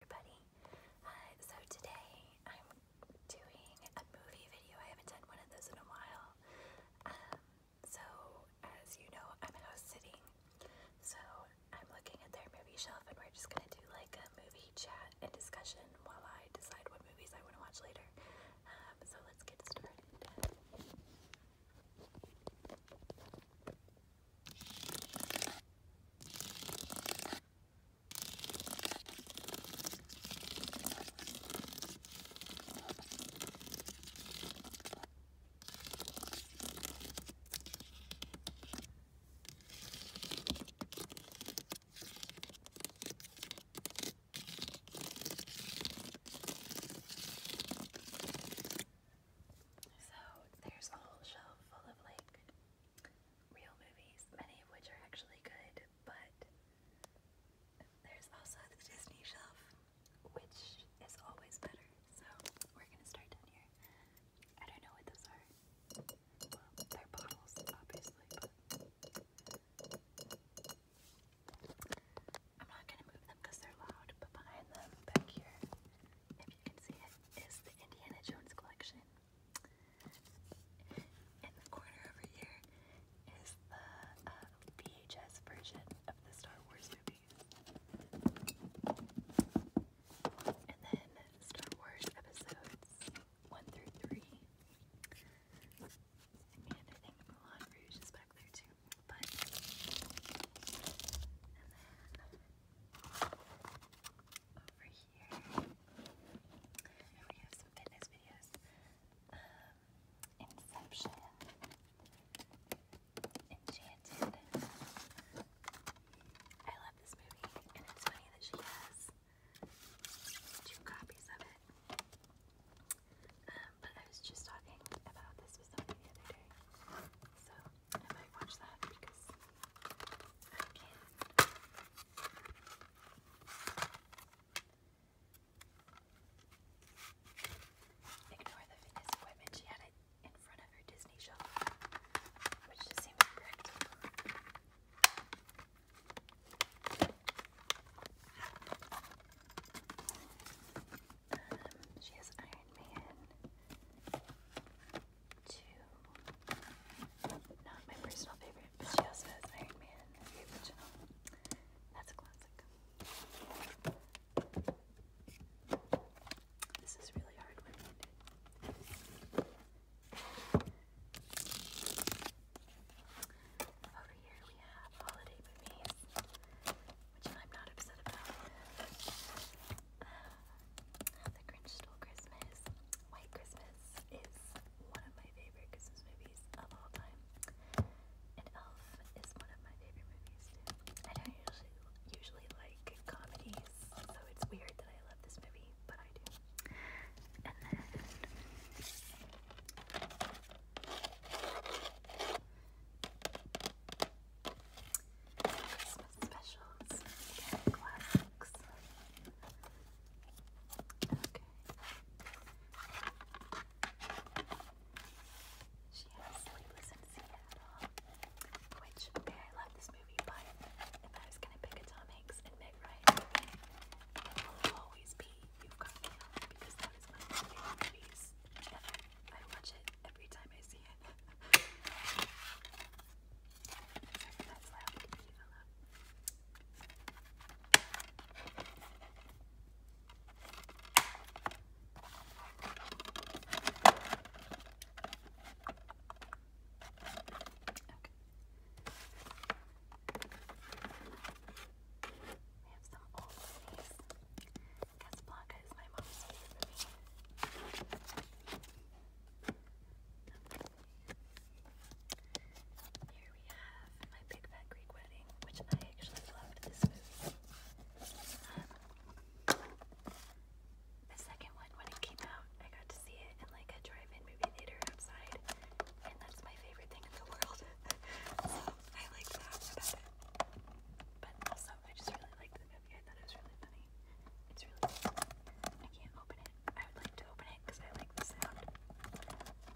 everybody. Uh, so today I'm doing a movie video. I haven't done one of those in a while. Um, so as you know, I'm in house sitting. So I'm looking at their movie shelf and we're just gonna do like a movie chat and discussion while I decide what movies I wanna watch later. Um, so let's get started. So there's a whole shelf full of like real movies, many of which are actually good, but there's also the Disney shelf, which is always better. So we're gonna start down here. I don't know what those are. Well, they're bottles, obviously, I'm not gonna move them they're loud, but behind them, back here, you can see it, is the Indiana Jones collection. In the corner over here is the uh, VHS version of the Star Wars movies. And then Star Wars episodes 1 through 3. And I think Moulin Rouge is back there too. But over here. we have some fitness videos. Um, Inception. Enchanted. I love this movie, and it's funny that she has two copies of it. Um, but I was just talking about this with somebody the other day. So I might watch that because Ignore the fitness equipment. She had it in front of her Disney shelf, which just seems correct. she has Iron Man to not my personal favorite, but she also has Iron Man, original. That's a classic. This is really hard Over here we have holiday movies, which I'm not upset about. The Grinch Stole Christmas. White Christmas is one of my favorite Christmas movies of all time. And Elf is one of my favorite movies too. I don't usually usually like comedies, so it's weird that I love this movie, but I do. And then this specials classics. Okay. She has Sleepless in Seattle, which, okay, I love this movie, but if I was gonna pick Tom Hanks and Meg Ryan it will always be You've Got Mail, because that is one of my favorite movies, I, I watch it every time I see it. that's loud. Can you here we have My Big Fat Greek Wedding, which I actually loved this movie. Um, the second one, when it came out, I got to see it in like a drive-in movie theater outside, and that's my favorite thing in the world. so I liked that about it. But also, I just really liked I thought it was really funny. It's really funny. I can't open it. I would like to open it because I like the sound.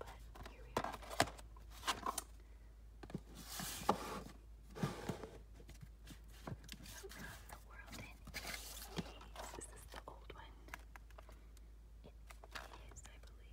But here we are. Around the world in eight days. Is the old one? It is, I believe.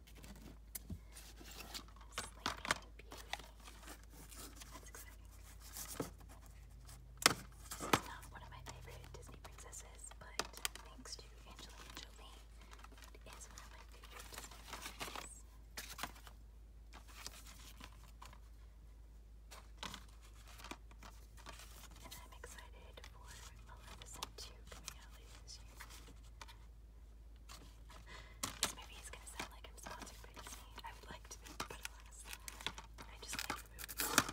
Sleeping Beauty. not one of my favorite Disney princesses, but thanks to Angelina Jolie, it is one of my favorite Disney princesses. And I'm excited for Maleficent 2 coming out later this this movie is gonna sound like I'm sponsored by Disney. I would like to be, but alas, I just like the movie.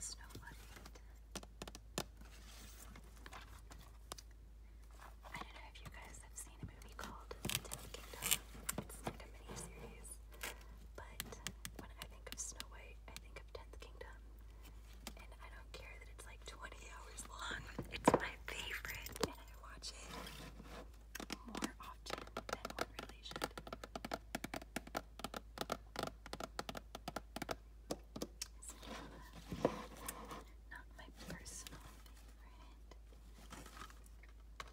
Snow I don't know if you guys have seen a movie called The Ten It's like a mini series. But when I think of Snow White, I think of Tenth Kingdom. And I don't care that it's like 20 hours long. It's my favorite. And I watch it more often than one really so, not my personal favorite.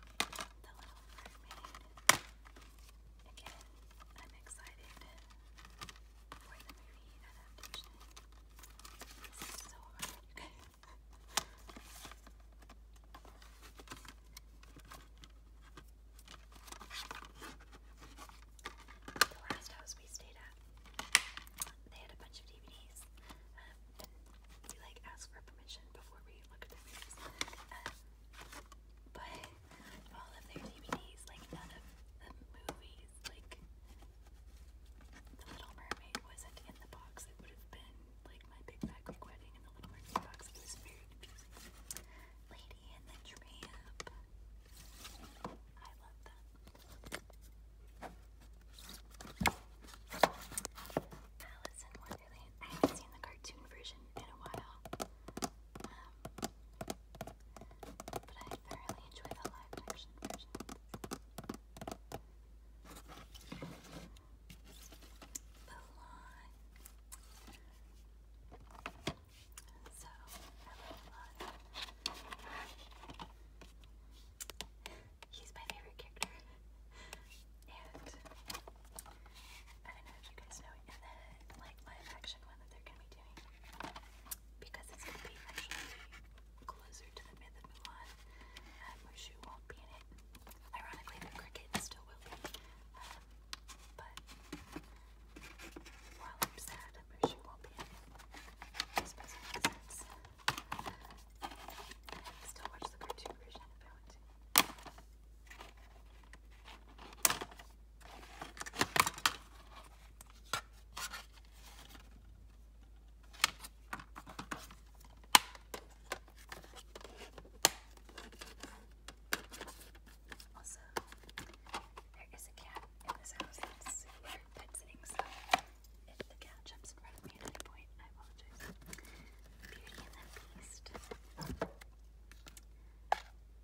The Little Mermaid. Again, I'm excited for the movie adaptation. This is so hard, uh, you the last house we stayed at, they had a bunch of DVDs, um, we like asked for permission before we looked at the movies. Um, but all of their DVDs, like none of the movies, like The Little Mermaid wasn't in the box. It would have been like my Big Fat Wedding in the Little Mermaid box. It was very confusing. Lady in the Tramp. I love that. Alice in Wonderland. I haven't seen the cartoon version in a while. Um, but I thoroughly enjoy the live version. He's my favorite character. and I know if you guys know in the like live action one that they're gonna be doing. Because it's gonna be closer to the myth of Mulan. Mushu won't be in it. Ironically the cricket still will be. Um, but while I'm sad, you won't be in it. I sense. still watch the cartoon version if Also, there is a cat in this house that's bed sitting, so if the couch jumps in front of me at any point, I apologize. Beauty and the Beast.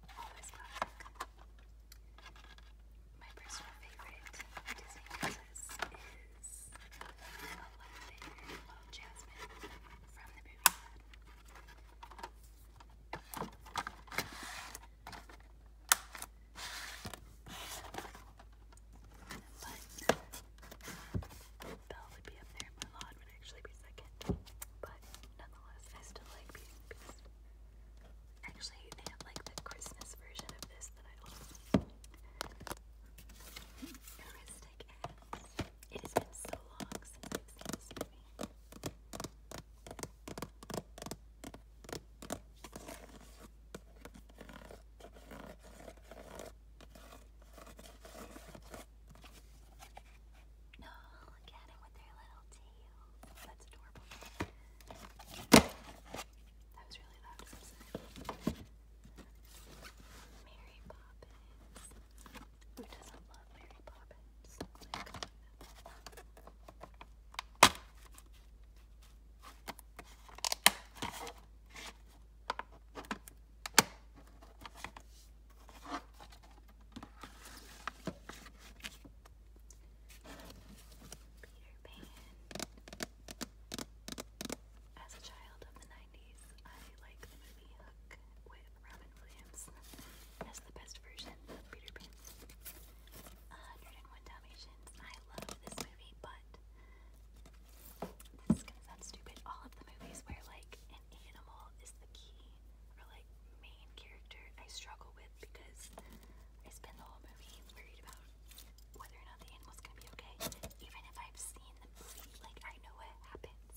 Always classic. My personal favorite Disney princess is Aladdin, Little Jasmine from the movie Aladdin. But Belle would be up there, and Mulan would actually be second. But nonetheless, I still like Beauty and Actually, they like the Christmas version of this that I love. Heuristic It has been so long since I've seen this no, oh, look at him with their little tail. That's adorable. That was really loud. Mary Poppins. Who doesn't love Mary Poppins? Oh my God. Peter Pan. As a child of the 90s, I like the movie Hook with Robin Williams as the best version of Peter Pan. 101 Dalmatians. I love this movie, but this is gonna sound stupid. All of the movies where like an animal is the key or like main character, I struggle with because I spend the whole movie worried about whether or not the animal's gonna be okay. Even if I've seen the movie, like I know what happens.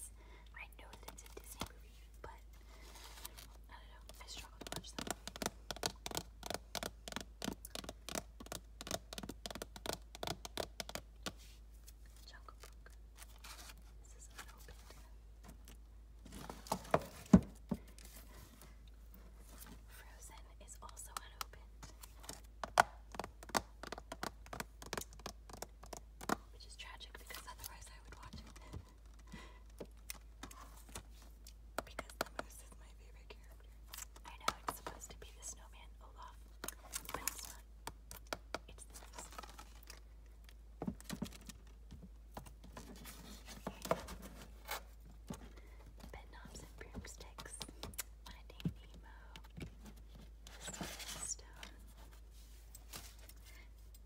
I know that it's a Disney movie but I don't know. I struggle to watch them. Jungle Book. This is unopened. Frozen is also unopened. Which is tragic because otherwise I would watch it because the moose is my favorite character. I know it's supposed to be the snowman Olaf, but it's not. It's the moose. Bedknobs and broomsticks. Finding Nemo. Stone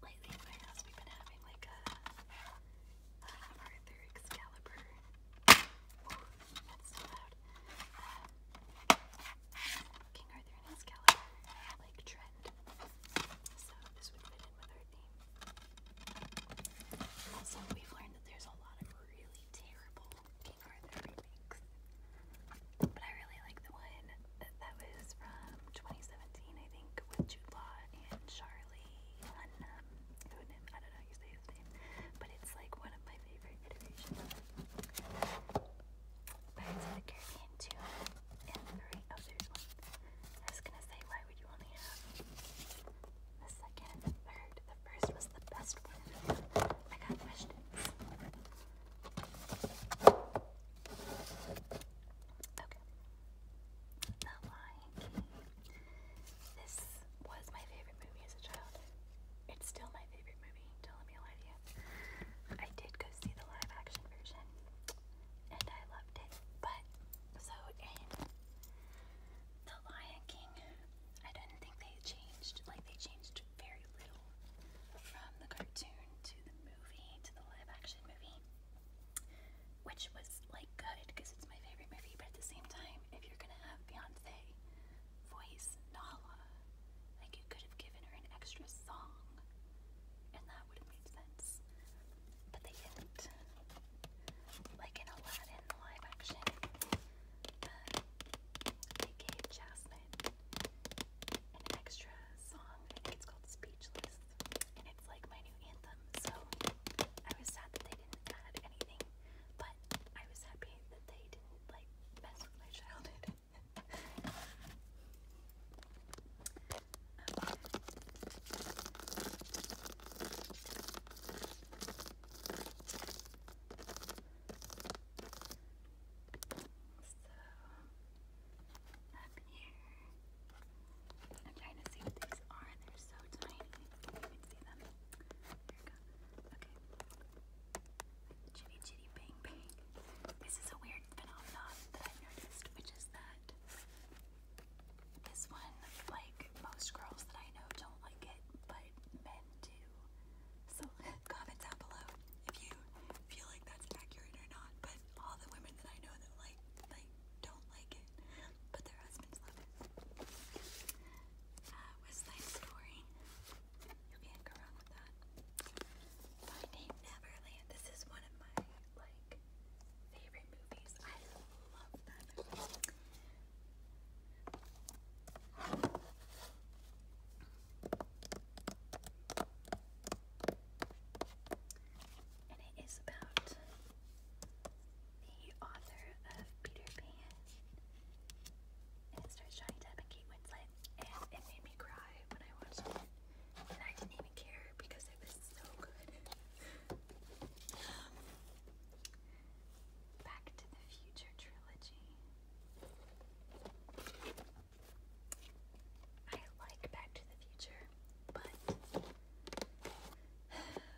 lately in my house we've been having like a Arthur Excalibur. that's so loud. Uh, King Arthur Excalibur like trend. So this would fit in with our theme. Also, we've learned that there's a lot of really terrible King Arthur remakes. But I really like the one that was from 2017, I think with Jude and Charlie Hunnam. Hunnam, I don't know his name, but it's like one of my favorite iterations of the Caribbean 2 and 3. Oh, there's I was gonna say, why would you only have the second the third? The first was the best one. I got questions. Okay, the Lion King. This was my favorite movie as a child. It's still my favorite movie, don't let me lie to you. I did go see the live action version and I loved it. But so The Lion King, I don't think they changed, like they changed very little from the cartoon to the movie to the live action movie which was like good because it's my favorite movie, but at the same time, if you're gonna have Beyonce voice Nala, like you could have given her an extra song and that would have made sense. But they didn't. Like in Aladdin, live action, they gave Jasmine an extra song. it's called Speechless first, and it's like my new anthem. So I was sad that they didn't add anything, but I was happy that they didn't like mess with my childhood. So, up here. I'm trying to see what these are. They're so tiny. Can see them? Here we go. Okay. Chitty chitty bang bang. This is a weird phenomenon that i noticed, which is that this one, like most girls that I know, don't like it, but men do. So comment down below if you feel like that's accurate or not. But all the women that I know that like like don't like it, but their husbands love it. Uh, Westside Story. You can't go wrong with that. Finding Neverland. This is one of my like favorite movies. I love that and it is about the author of Peter Pan. And it starts Johnny Depp and Kate Winslet. And it made me cry when I watched it. And I didn't even care because it was so good. Um, Back to the Future trilogy. I like Back to the Future, but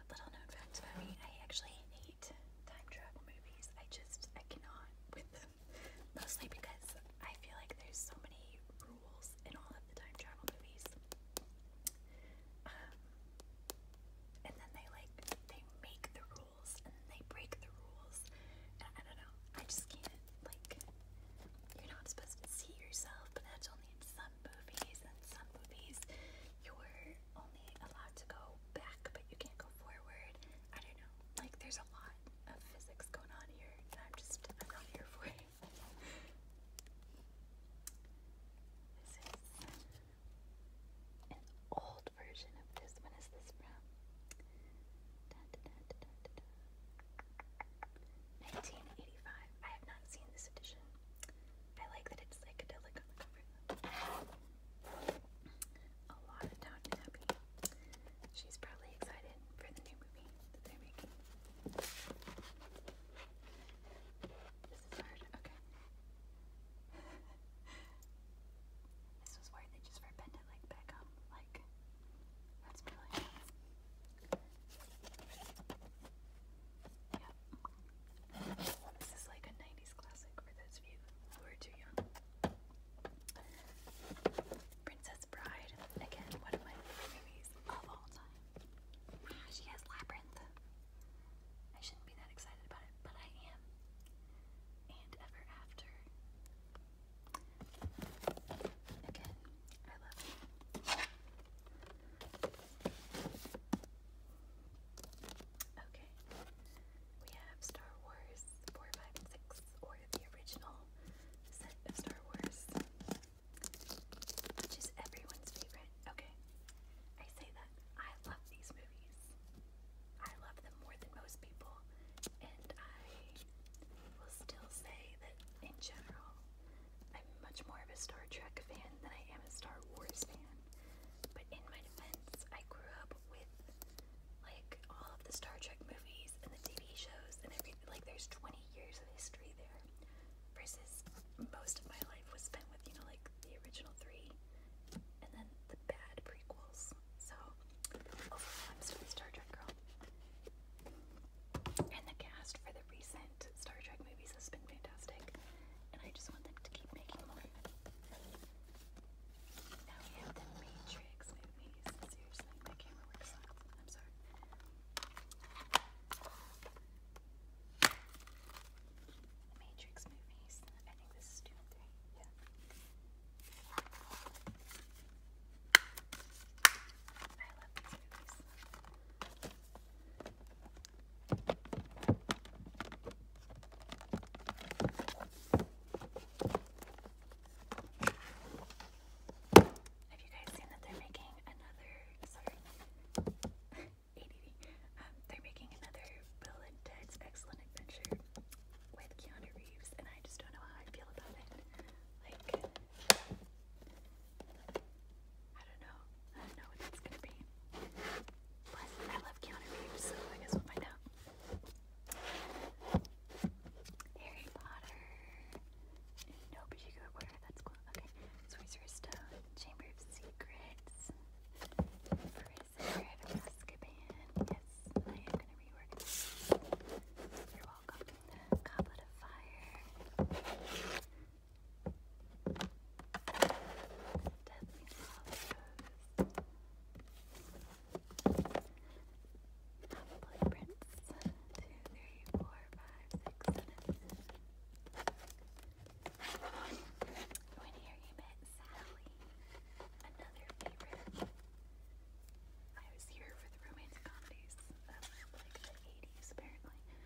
little known fact about me, I actually hate time travel movies. I just, I cannot with them. Mostly because I feel like there's so many rules in all of the time travel movies. Um, and then they like, they make the rules and they break the rules. I don't know. I just can't, like, you're not supposed to see yourself, but that's only in some movies. And some movies, you're only allowed to go back, but you can't go forward. I don't know. Like, there's a lot of physics going on here, and I'm just, I'm not here for it. this is an old version of this. When is this from? 1985. I have not seen this edition. I like that it's psychedelic on the cover. A lot of Down and Happy. She's probably excited for the new movie that they're making. This is hard. Okay. this was worth it just for Like Beckham. Like, this is like a 90s classic for those of you who are too young. Princess Bride, again, one of my favorite movies of all time. she has Labyrinth. I shouldn't be that excited about it, but I am. And Ever After. I love Okay, we have Star Wars 4, or the original set of Star Wars, which is everyone's favorite. Okay, I say that. I love these movies. I love them more than most people and I will still say that in general, I'm much more of a Star Trek fan than I am a Star Wars fan. But in my defense, I grew up with like all of the Star Trek movies and the TV shows and everything. Like, there's 20 years of history there, versus most of my life was spent with, you know, like the original three and then the bad prequels. So, overall, I'm still a Star Trek girl. And the cast for the recent Star Trek movies has been fantastic. And I just want them to keep making more. Now we have the Matrix movies. Seriously, my camera works off. I'm sorry. The Matrix movies. I think this is two and three. Yeah. I Have you guys seen that they're making another? Sorry, ADD. Um, they're making another Bill and Ted's Excellent Adventure with Keanu Reeves, and I just don't know how I feel about it. Like, I don't know. I don't know what that's gonna be. Plus, I love Keanu so I guess we'll find Harry Potter. No, but you go order. That's cool. Okay. Sorcerer's Stone. Chamber of Secrets. Prison. Private Yes, I am gonna rework walk up in the goblet of fire. Deadly love Probably prints. here you met Sally, another favorite. I was here for the romantic comedies of like the 80s, apparently.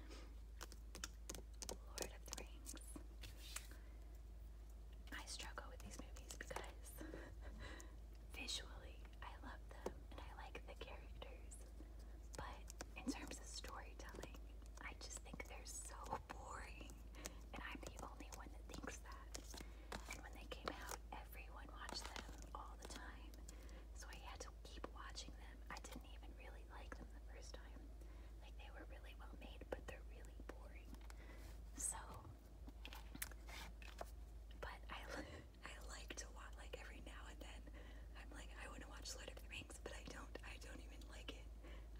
Lord of the Rings. I struggle with these movies because visually I love them and I like the characters, but in terms of storytelling, I just think they're so boring, and I'm the only one that thinks that. And when they came out, everyone watched them all the time. So I had to keep watching them. I didn't even really like them the first time. Like they were really well made, but they're really boring. So but I I like to watch like every now and then I'm like I want to watch Lord of the Rings, but I don't I don't even like it.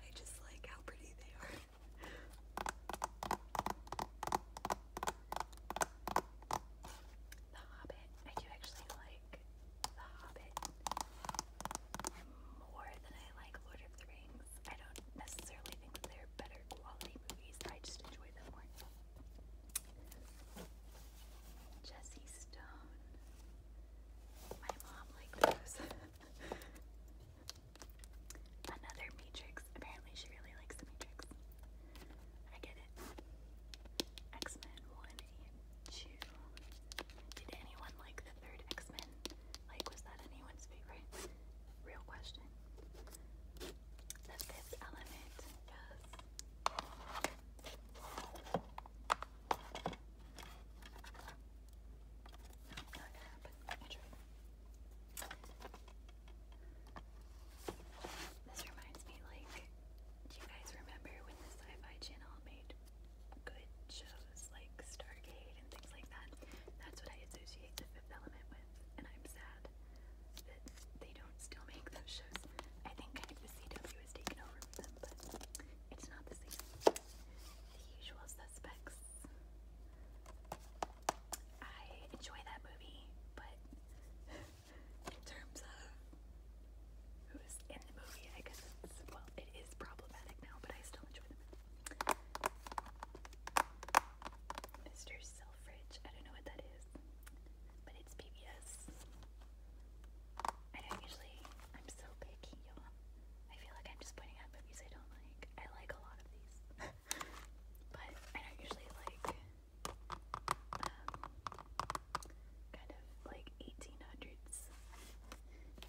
I just like how pretty they are. The Hobbit. I do actually like The Hobbit more than I like Lord of the Rings. I don't necessarily think they're better quality movies. I just enjoy them more. Jesse Stone. My mom liked those. Another Matrix. Apparently, she really likes the Matrix. I get it. X Men 1 2. Did anyone like the third X Men? Like, was that anyone's favorite? Real question. The fifth element. Yes. Not gonna happen. This reminds me, like, do you guys remember when the Sci Fi Channel made good shows like Stargate and things like that? That's what I associate the fifth element with, and I'm sad that they don't still make those shows. I think kind of the CW has taken over them, but it's not the same. The usual suspects. I enjoy that movie, but in terms of who's in the movie, I guess well, it is problematic now, but I still enjoy the movie. Mr. Selfridge, I don't know what that is, but it's PBS. I do usually, I'm so picky, y'all. I feel like I'm just pointing out movies I don't like. I like a lot of these. but I don't usually like um, kind of like 1800s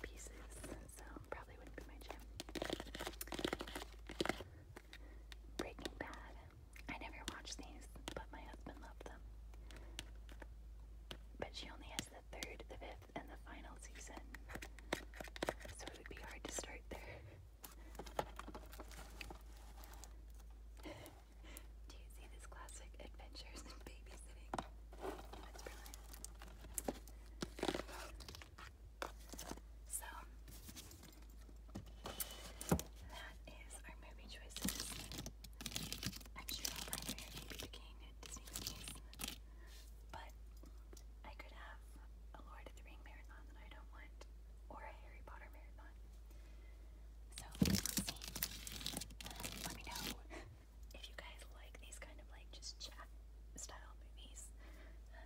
pieces, so probably wouldn't be my jam. Breaking Bad. I never watched these, but my husband loved them. But she only has the third, the fifth, and the final season. So it would be hard to start there. Do you see this classic adventures in babysitting? So that is our movie choices. I'm sure all my favorite maybe became Disney movies, but I could have a Lord Lord of marathon that I don't want, or a Harry Potter marathon. So uh, let me know if you guys like these kind of like just chat style movies. Uh,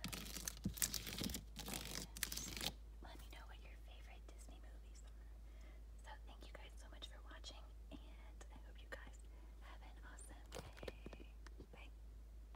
let me know what your favorite Disney movies are. So thank you guys so much for watching, and I hope you guys have an awesome day. Bye.